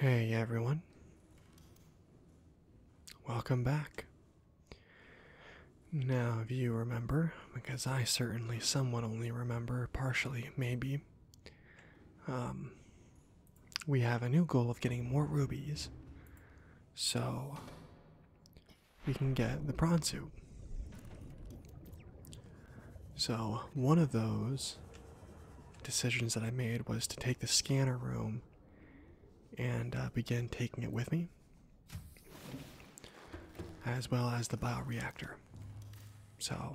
Hey everyone. Welcome back. Now, if you remember, because I certainly somewhat only remember, partially maybe, um, we have a new goal of getting more rubies. So, we can get the prawn soup. So, one of those decisions that I made was to take the scanner room and uh, begin taking it with me, as well as the bioreactor. So,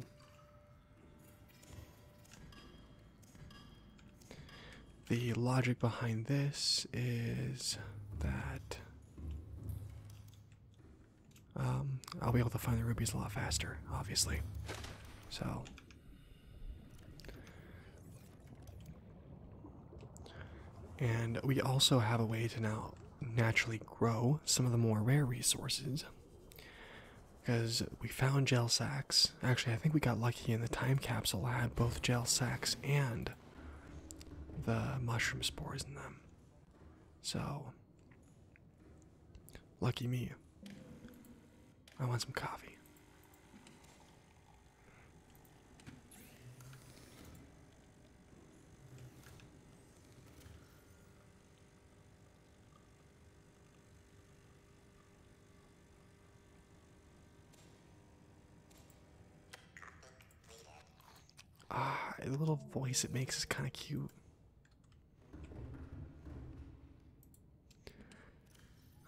the logic behind this is that um, I'll be able to find the rubies a lot faster, obviously. So, and we also have a way to now naturally grow some of the more rare resources because we found gel sacks. Actually, I think we got lucky in the time capsule, I had both gel sacks and the mushroom spores in them. So, lucky me. I want some coffee. Ah, the little voice it makes is kind of cute.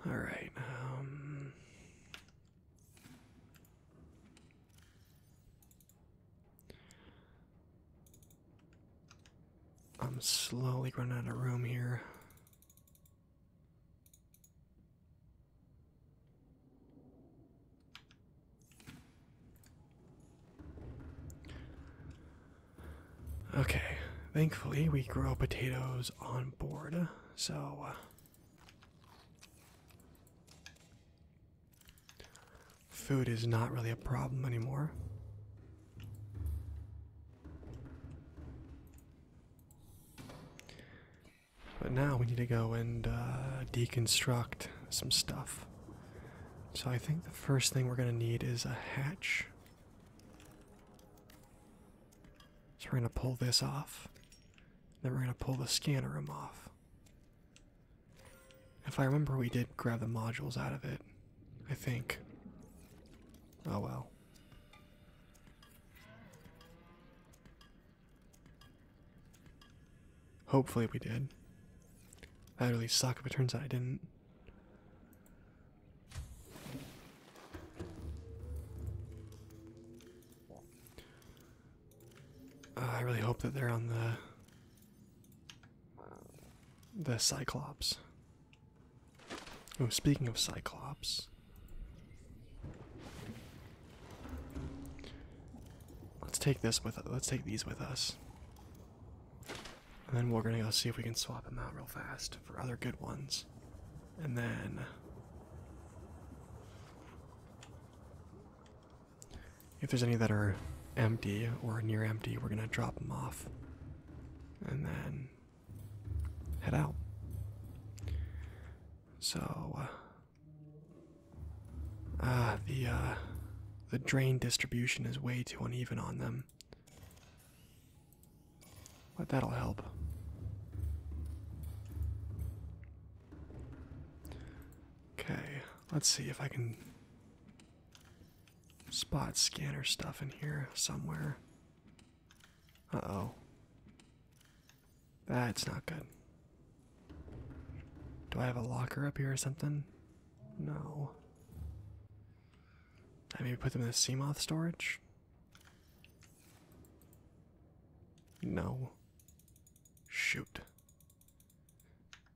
All right. Um. I'm slowly running out of room here. Okay, thankfully we grow potatoes on board, so. Uh, food is not really a problem anymore. But now we need to go and uh, deconstruct some stuff. So I think the first thing we're going to need is a hatch. So we're going to pull this off. Then we're going to pull the scanner room off. If I remember, we did grab the modules out of it. I think. Oh well. Hopefully we did. That would really suck if it turns out I didn't. Uh, I really hope that they're on the the Cyclops. Oh, speaking of Cyclops, Let's take this with let's take these with us. And then we're gonna go see if we can swap them out real fast for other good ones. And then if there's any that are empty or near empty, we're gonna drop them off. And then head out. So uh, Ah, the uh, the drain distribution is way too uneven on them. But that'll help. Okay, let's see if I can spot scanner stuff in here somewhere. Uh oh. That's ah, not good. Do I have a locker up here or something? No. I maybe put them in the Seamoth storage? No. Shoot.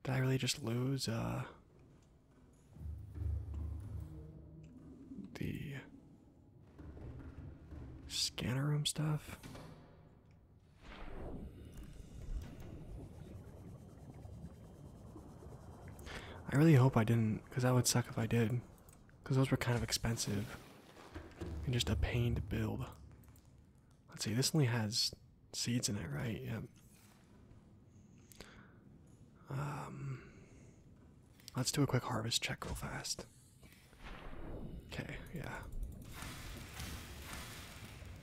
Did I really just lose, uh. The scanner room stuff? I really hope I didn't, because that would suck if I did. Because those were kind of expensive and just a pain to build. Let's see, this only has seeds in it, right? Yep. Um, let's do a quick harvest check real fast. Okay, yeah.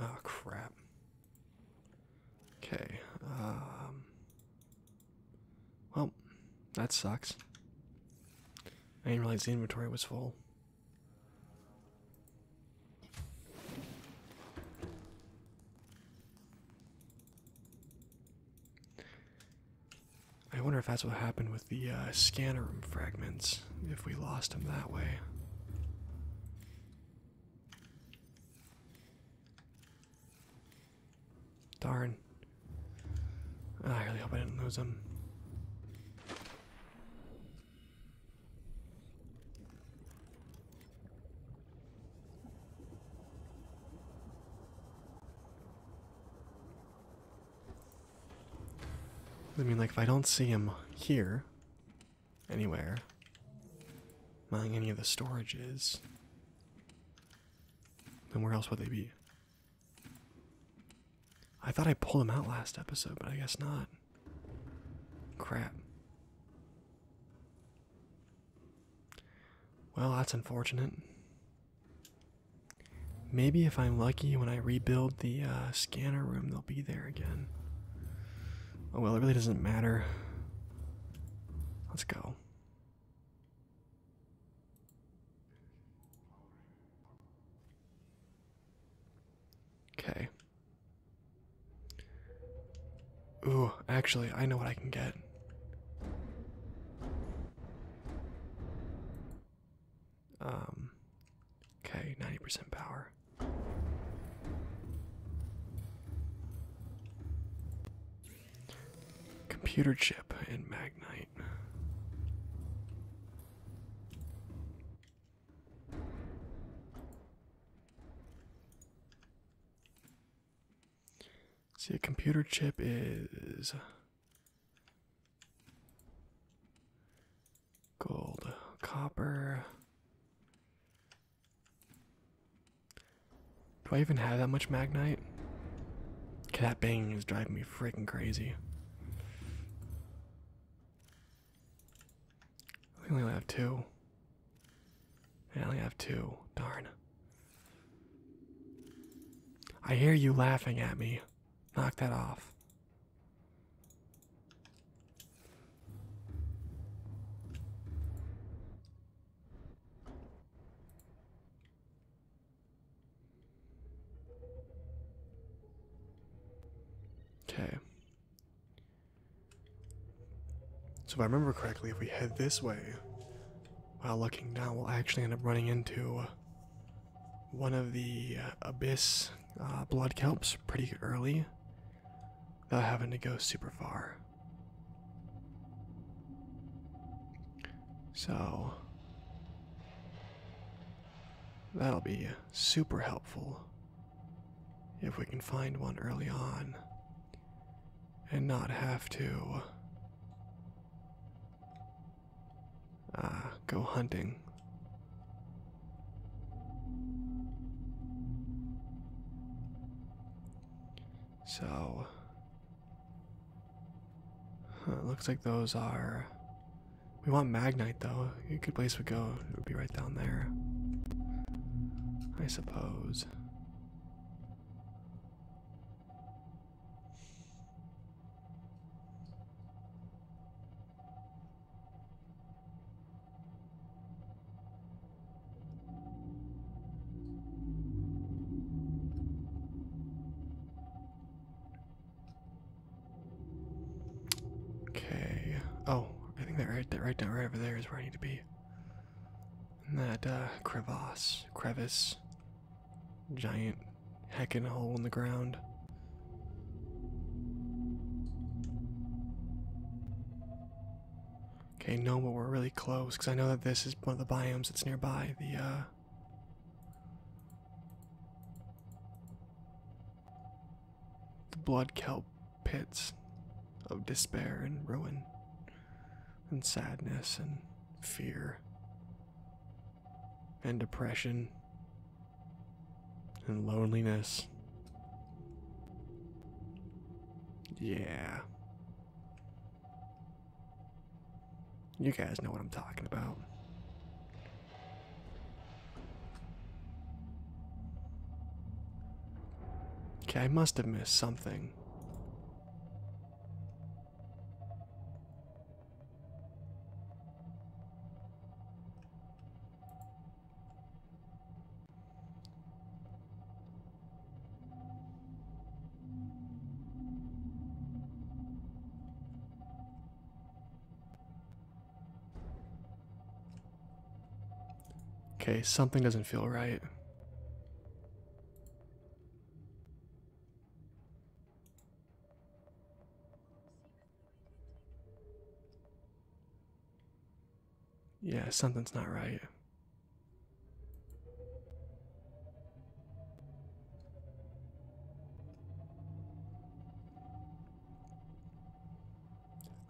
Oh crap. Okay. Um, well, that sucks. I didn't realize the inventory was full. I wonder if that's what happened with the uh, scanner room fragments, if we lost them that way. Darn. I really hope I didn't lose him. I mean, like, if I don't see him here, anywhere. Not in any of the storages. Then where else would they be? I thought I pulled them out last episode, but I guess not. Crap. Well, that's unfortunate. Maybe if I'm lucky, when I rebuild the uh, scanner room, they'll be there again. Oh well, it really doesn't matter. Let's go. Okay. Ooh, actually, I know what I can get. Um Okay, 90% power. Computer chip and magnite. See, a computer chip is gold, copper. Do I even have that much magnite? Okay, that banging is driving me freaking crazy. I only have two. I only have two. Darn. I hear you laughing at me. Knock that off. Okay. So if I remember correctly, if we head this way, while looking down, we'll actually end up running into one of the uh, abyss uh, blood kelps pretty early. Not having to go super far. So that'll be super helpful if we can find one early on and not have to uh, go hunting so, it looks like those are. We want Magnite though. A good place to go it would be right down there, I suppose. Okay. Oh, I think that right that right down right over there is where I need to be. And that uh, crevasse, crevice, giant heckin' hole in the ground. Okay, no, but we're really close because I know that this is one of the biomes that's nearby. The uh, the blood kelp pits of despair and ruin and sadness and fear and depression and loneliness. Yeah. You guys know what I'm talking about. Okay, I must have missed something. Okay, something doesn't feel right. Yeah, something's not right.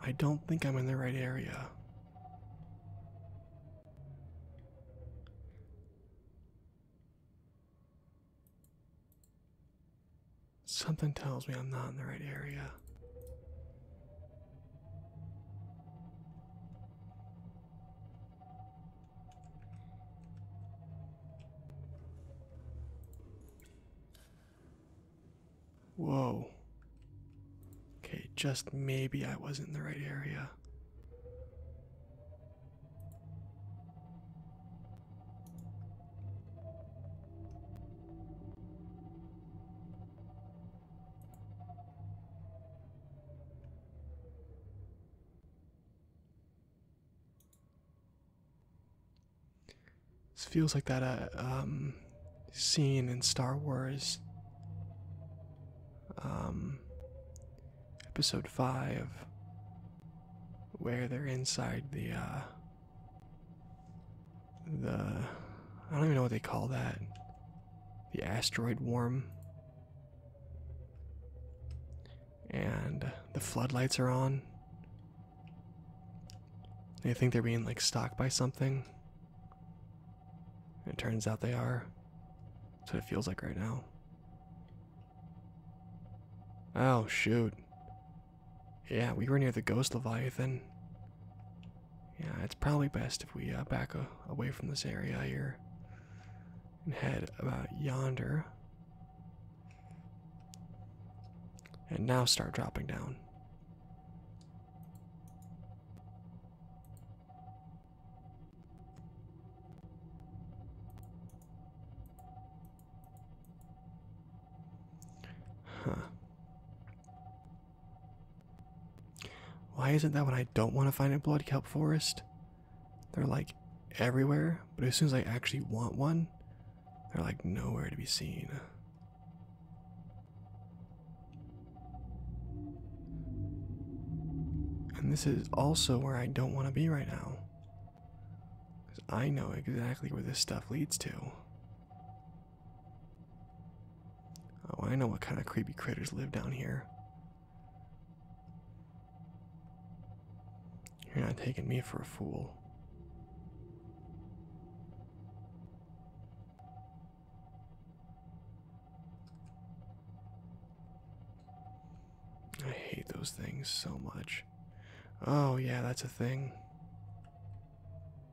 I don't think I'm in the right area. Something tells me I'm not in the right area. Whoa. Okay, just maybe I wasn't in the right area. This feels like that uh, um, scene in Star Wars. Um, episode 5 where they're inside the uh the I don't even know what they call that. The asteroid worm. And the floodlights are on. They think they're being like stalked by something. it turns out they are. So it feels like right now. Oh shoot. Yeah, we were near the ghost Leviathan. Yeah, it's probably best if we uh, back uh, away from this area here and head about yonder. And now start dropping down. Huh. Why isn't that when I don't want to find in blood forest? They're like everywhere, but as soon as I actually want one, they're like nowhere to be seen. And this is also where I don't want to be right now. Because I know exactly where this stuff leads to. Oh, I know what kind of creepy critters live down here. You're not taking me for a fool. I hate those things so much. Oh, yeah, that's a thing.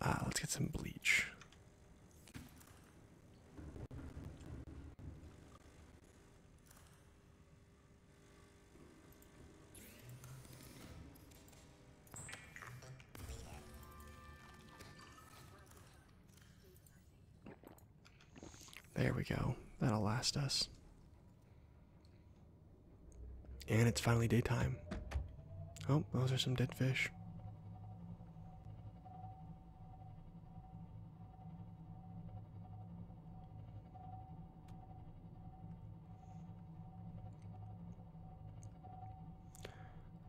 Ah, let's get some bleach. There we go. That'll last us. And it's finally daytime. Oh, those are some dead fish.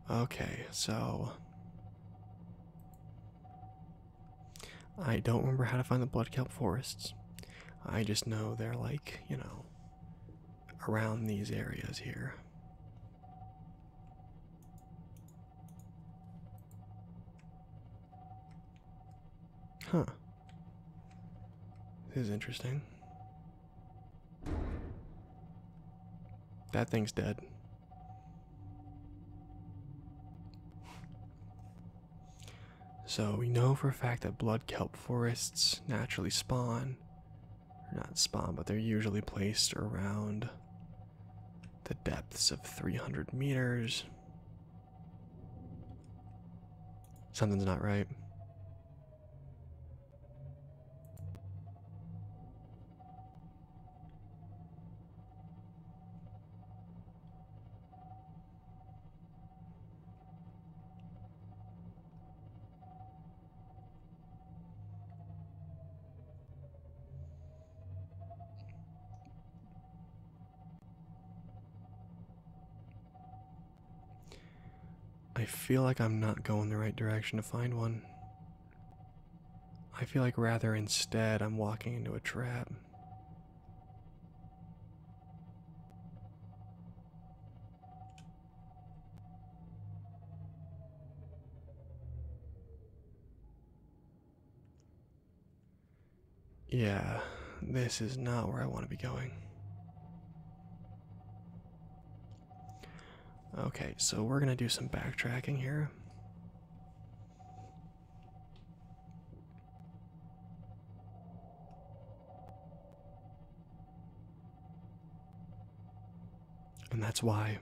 Okay, so I don't remember how to find the blood kelp forests. I just know they're like, you know, around these areas here. Huh. This is interesting. That thing's dead. So we know for a fact that blood kelp forests naturally spawn. not spawn, but they're usually placed around the depths of 300 meters. Something's not right. I feel like I'm not going the right direction to find one. I feel like rather instead I'm walking into a trap. Yeah, this is not where I want to be going. Okay, so we're going to do some backtracking here. And that's why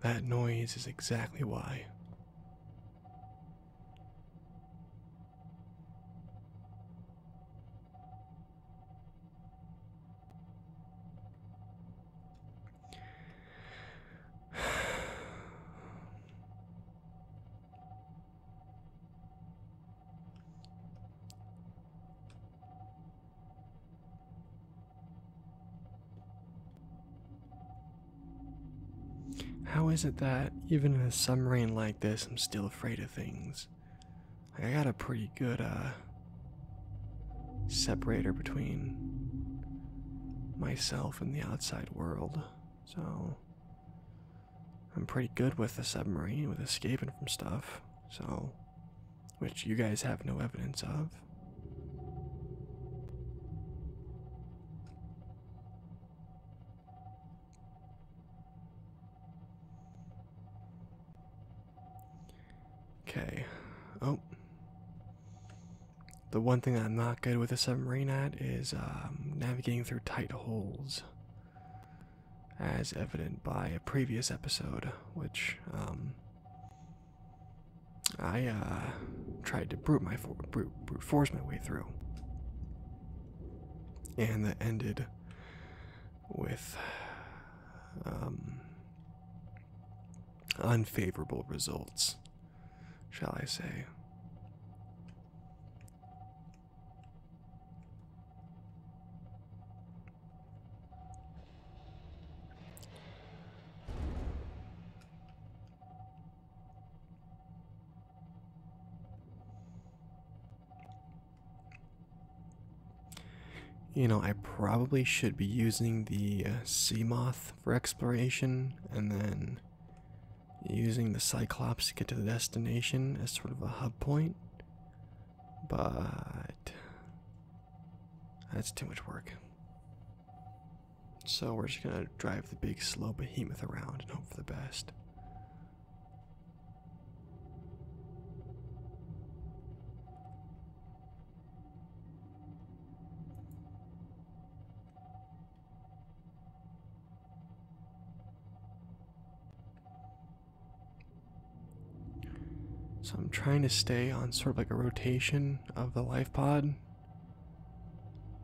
that noise is exactly why how is it that even in a submarine like this, I'm still afraid of things? I got a pretty good uh, separator between myself and the outside world, so I'm pretty good with a submarine, with escaping from stuff, so. Which you guys have no evidence of. Okay. Oh. The one thing I'm not good with a submarine at is um, navigating through tight holes, as evident by a previous episode, which um, I uh, tried to brute, my brute, brute force my way through. And that ended with um, unfavorable results shall I say. You know, I probably should be using the uh, moth for exploration and then using the Cyclops to get to the destination as sort of a hub point, but that's too much work. So we're just gonna drive the big slow behemoth around and hope for the best. So I'm trying to stay on sort of like a rotation of the life pod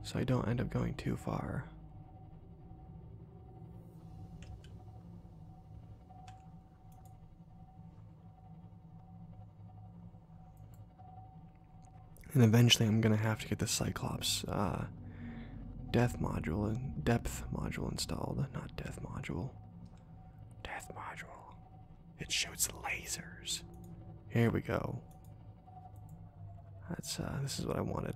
so I don't end up going too far. And eventually, I'm gonna have to get the Cyclops uh, death module depth module installed. Not death module. Death module. It shoots lasers. Here we go. That's uh, this is what I wanted.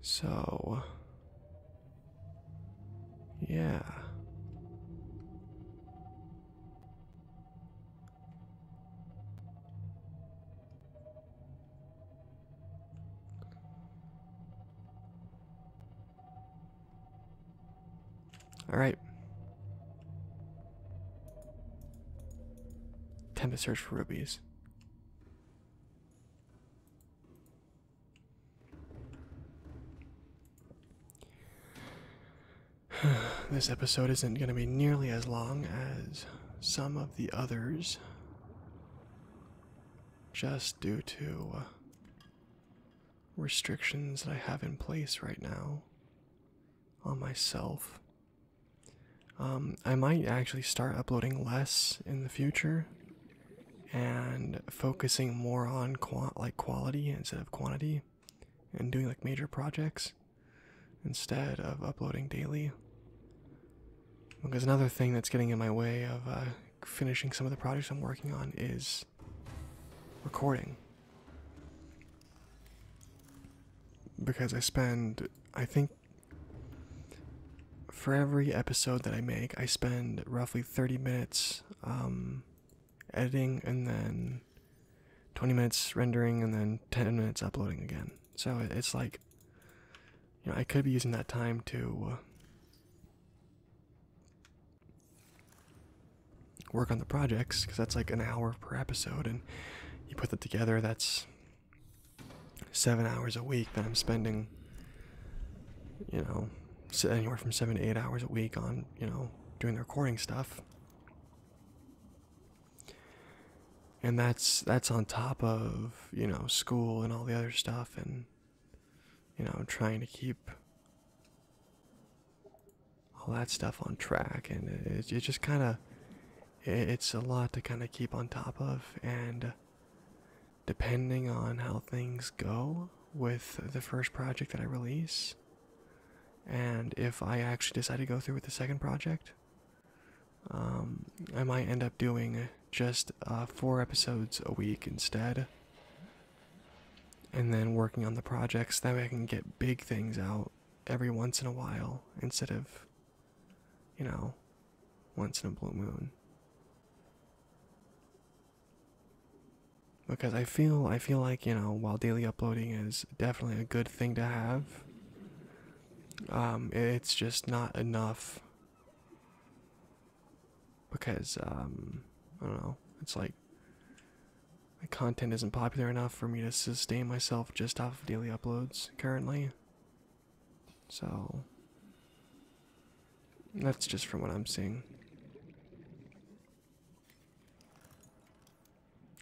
So, yeah. All right. Time to search for rubies. this episode isn't going to be nearly as long as some of the others, just due to restrictions that I have in place right now on myself um, I might actually start uploading less in the future and focusing more on qua like quality instead of quantity and doing like major projects instead of uploading daily. Because another thing that's getting in my way of uh, finishing some of the projects I'm working on is recording. Because I spend, I think, for every episode that I make, I spend roughly 30 minutes um, editing and then 20 minutes rendering and then 10 minutes uploading again. So it's like, you know, I could be using that time to. work on the projects because that's like an hour per episode and you put that together that's seven hours a week that I'm spending, you know, anywhere from seven to eight hours a week on, you know, doing the recording stuff. And that's that's on top of, you know, school and all the other stuff and you know, trying to keep all that stuff on track and it, just kind of it's a lot to kind of keep on top of, and depending on how things go with the first project that I release, and if I actually decide to go through with the second project, um, I might end up doing just uh, four episodes a week instead. And then working on the projects, that way I can get big things out every once in a while instead of you know, once in a blue moon. Because I feel I feel like, you know, while daily uploading is definitely a good thing to have, um, it's just not enough because um I don't know, it's like the content isn't popular enough for me to sustain myself just off of daily uploads currently. So that's just from what I'm seeing.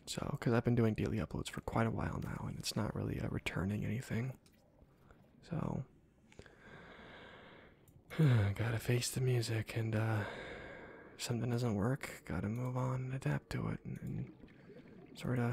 So, because I've been doing daily uploads for quite a while now, and it's not really uh, returning anything. So, gotta face the music, and uh, if something doesn't work, gotta move on and adapt to it, and sort of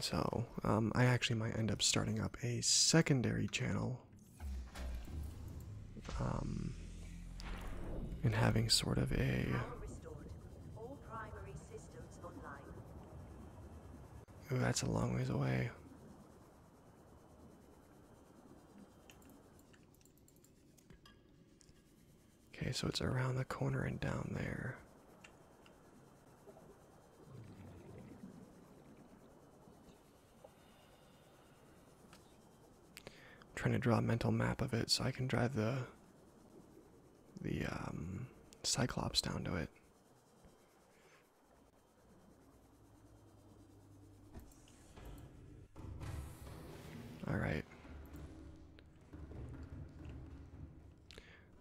So, um, I actually might end up starting up a secondary channel um, and having sort of a. that's a long ways away. Okay, so it's around the corner and down there. I'm trying to draw a mental map of it so I can drive the the um, Cyclops down to it. All right.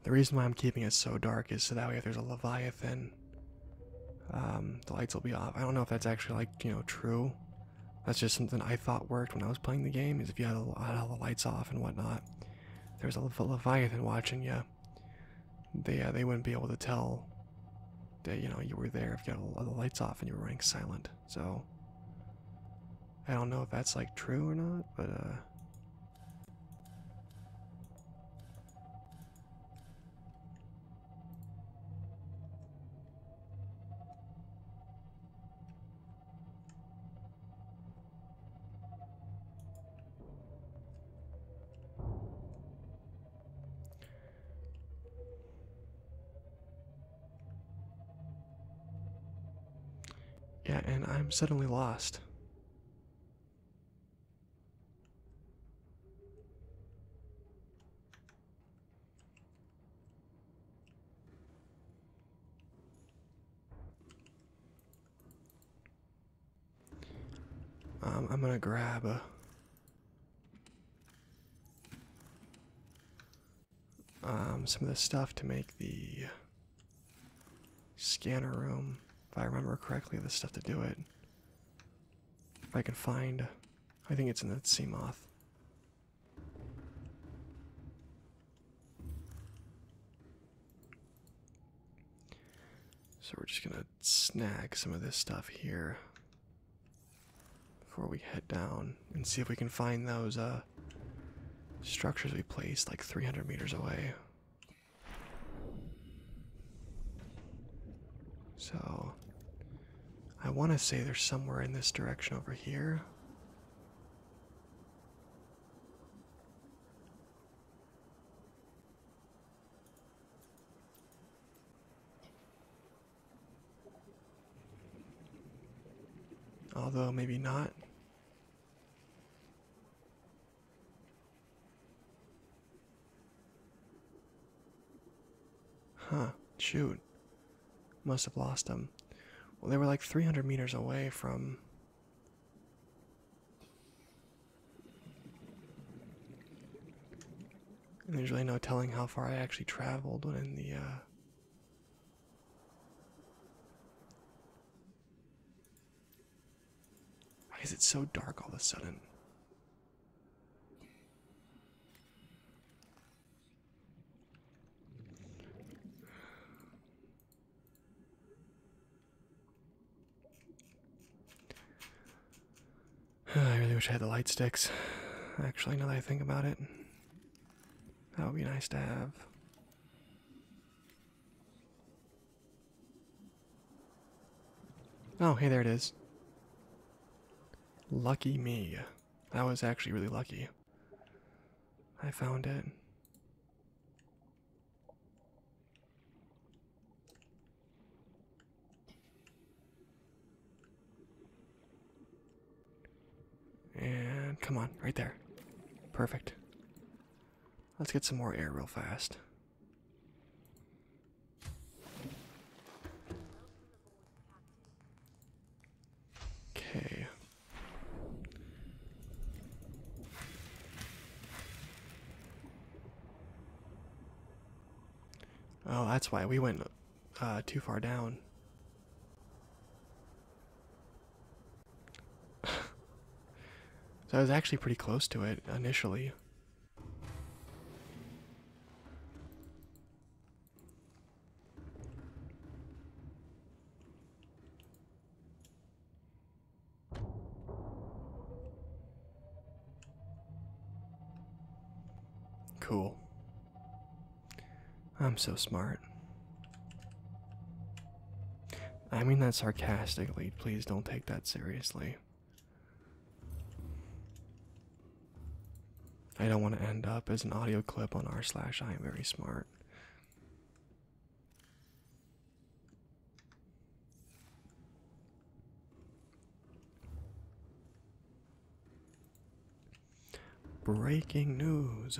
The reason why I'm keeping it so dark is so that way if there's a Leviathan, um, the lights will be off. I don't know if that's actually like, you know, true. That's just something I thought worked when I was playing the game, is if you had, a, had all the lights off and whatnot. there's a Leviathan watching you, they, uh, they wouldn't be able to tell that, you know, you were there if you had all the lights off and you were running silent. So, I don't know if that's like true or not, but uh, yeah, and I'm suddenly lost. Um, I'm gonna grab um, some of the stuff to make the scanner room, if I remember correctly, the stuff to do it. If I can find, I think it's in that sea moth. So we're just gonna snag some of this stuff here before we head down and see if we can find those uh structures we placed like 300 meters away. So, I want to say there's somewhere in this direction over here. Although, maybe not. Huh, shoot. Must have lost them. Well, they were like 300 meters away from. there's really no telling how far I actually traveled when in the. Uh, why is it so dark all of a sudden? I really wish I had the light sticks. Actually, now that I think about it, that would be nice to have. Oh, hey, there it is. Lucky me. I was actually really lucky. I found it. And come on, right there. Perfect. Let's get some more air real fast. Okay. Oh, that's why we went uh, too far down so I was actually pretty close to it initially. Cool. I'm so smart. I mean that sarcastically. Please don't take that seriously. I don't want to end up as an audio clip on r slash I am very smart. Breaking news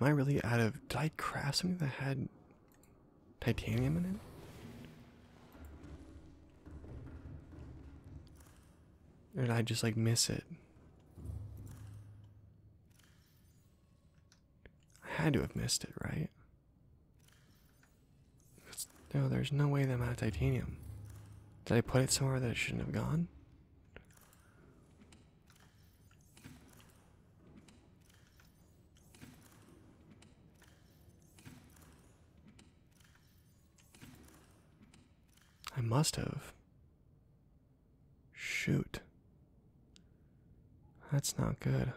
Am I really out of? Did I something that had titanium in it? Or did I just like miss it? I had to have missed it, right? no, there's no way that amount of titanium. Did I put it somewhere that it shouldn't have gone? I must have. Shoot. That's not good.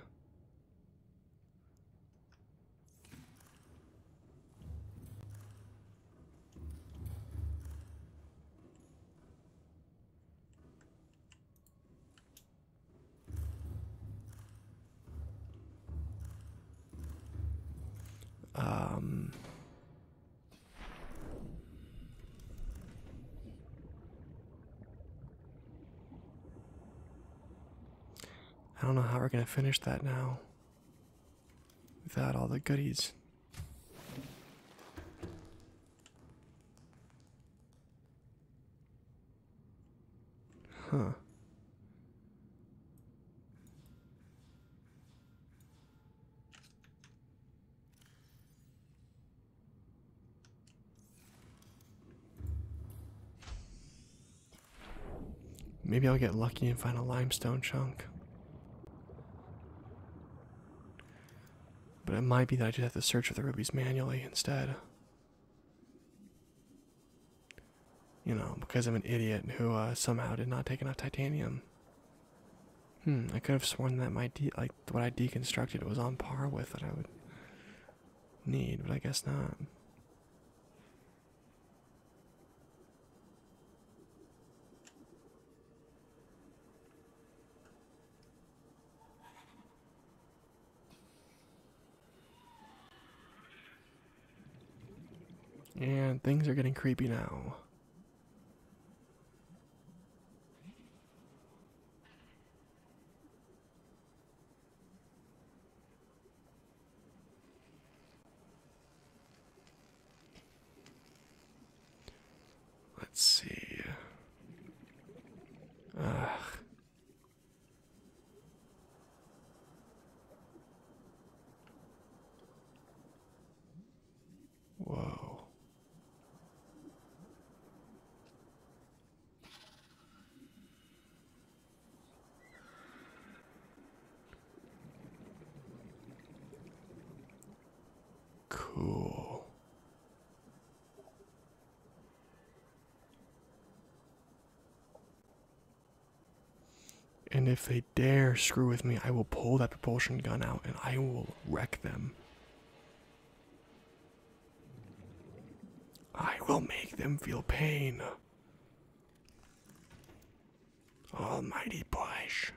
Um, I don't know how we're going to finish that now without all the goodies. Huh. Maybe I'll get lucky and find a limestone chunk. But it might be that I just have to search for the rubies manually instead. You know, because I'm an idiot who uh, somehow did not take enough titanium. Hmm, I could have sworn that my de like what I deconstructed was on par with what I would need, but I guess not. And things are getting creepy now. Let's see. Ugh. Whoa. Cool. And if they dare screw with me, I will pull that propulsion gun out and I will wreck them. I will make them feel pain. Almighty Bush.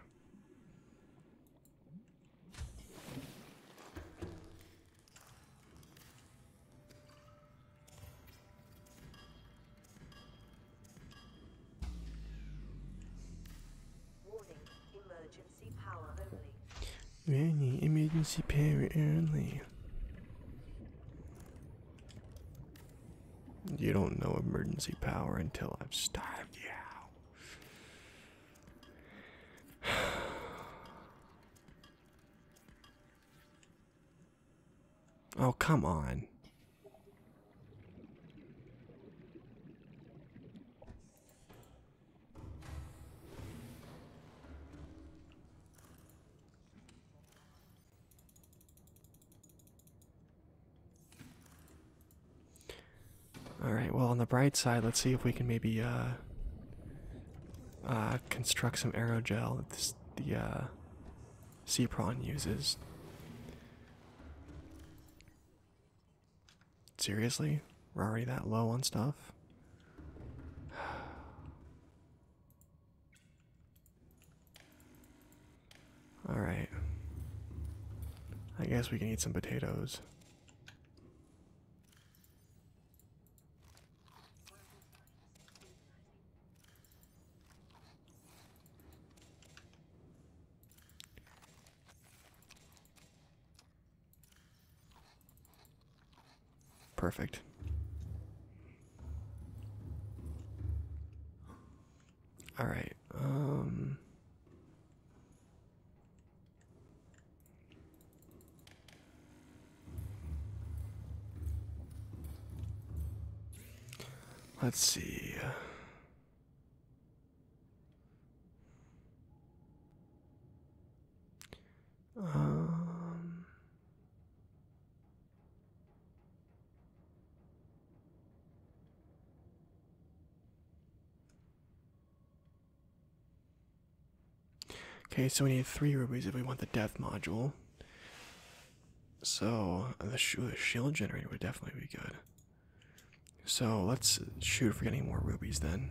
Warning, emergency power only. You don't know emergency power until I've starved you out. Oh, come on. All right, well, on the bright side, let's see if we can maybe uh, uh, construct some aerogel that this, the uh, c sea prawn uses. Seriously? We're already that low on stuff? Alright. I guess we can eat some potatoes. Perfect. All right. Um Let's see. Um, Okay, so we need three rubies if we want the death module. So uh, the, shield generator would definitely be good. So let's shoot for getting more rubies then.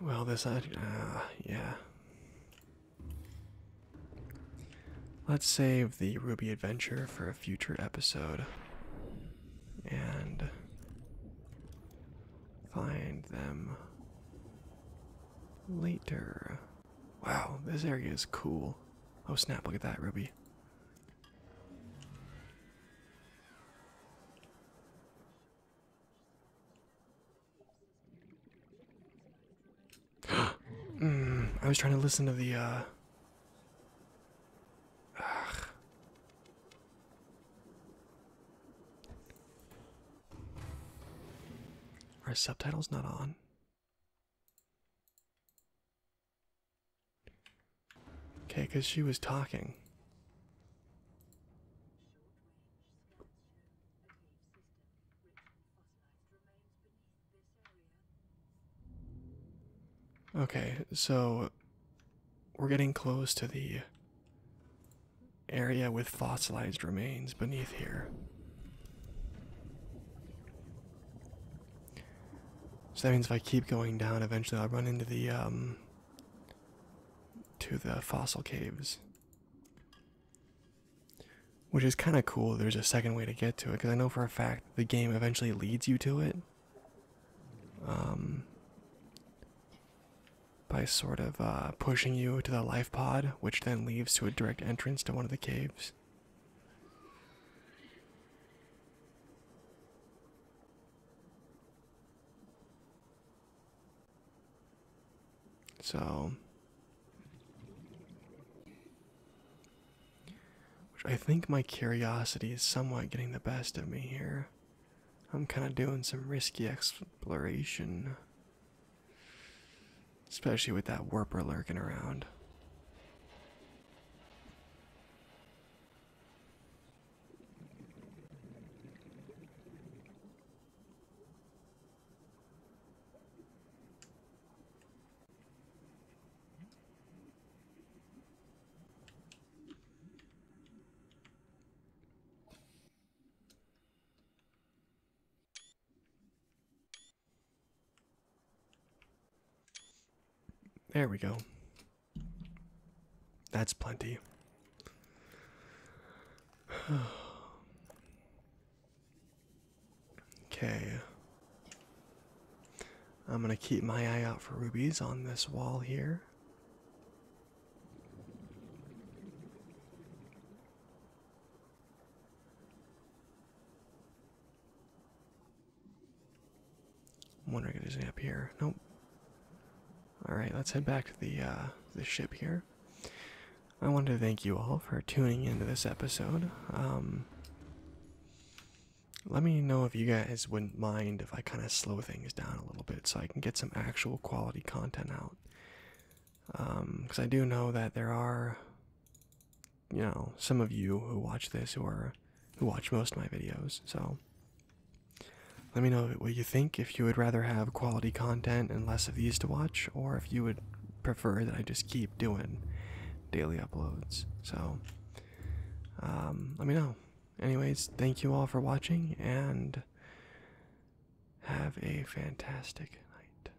Well, this, uh, yeah. Let's save the Ruby adventure for a future episode and find them later. Wow, this area is cool. Oh snap, look at that, Ruby. mm, I was trying to listen to the uh Our subtitles not on? Okay, because she was talking. Okay, so we're getting close to the area with fossilized remains beneath here. So that means if I keep going down, eventually I'll run into the um to the fossil caves. Which is kind of cool. There's a second way to get to it because I know for a fact the game eventually leads you to it. Um, by sort of uh, pushing you to the life pod, which then leads to a direct entrance to one of the caves. So, which I think my curiosity is somewhat getting the best of me here. I'm kind of doing some risky exploration. Especially with that warper lurking around. There we go. That's plenty. okay. I'm going to keep my eye out for rubies on this wall here. I'm wondering if there's any up here. Nope. Alright, let's head back to the uh, the ship here. I wanted to thank you all for tuning into this episode. Um, let me know if you guys wouldn't mind if I kind of slow things down a little bit so I can get some actual quality content out. because um, I do know that there are you know some of you who watch this who are who watch most of my videos so let me know what you think if you would rather have quality content and less of these to watch or if you would prefer that i just keep doing daily uploads so um, let me know anyways thank you all for watching and have a fantastic night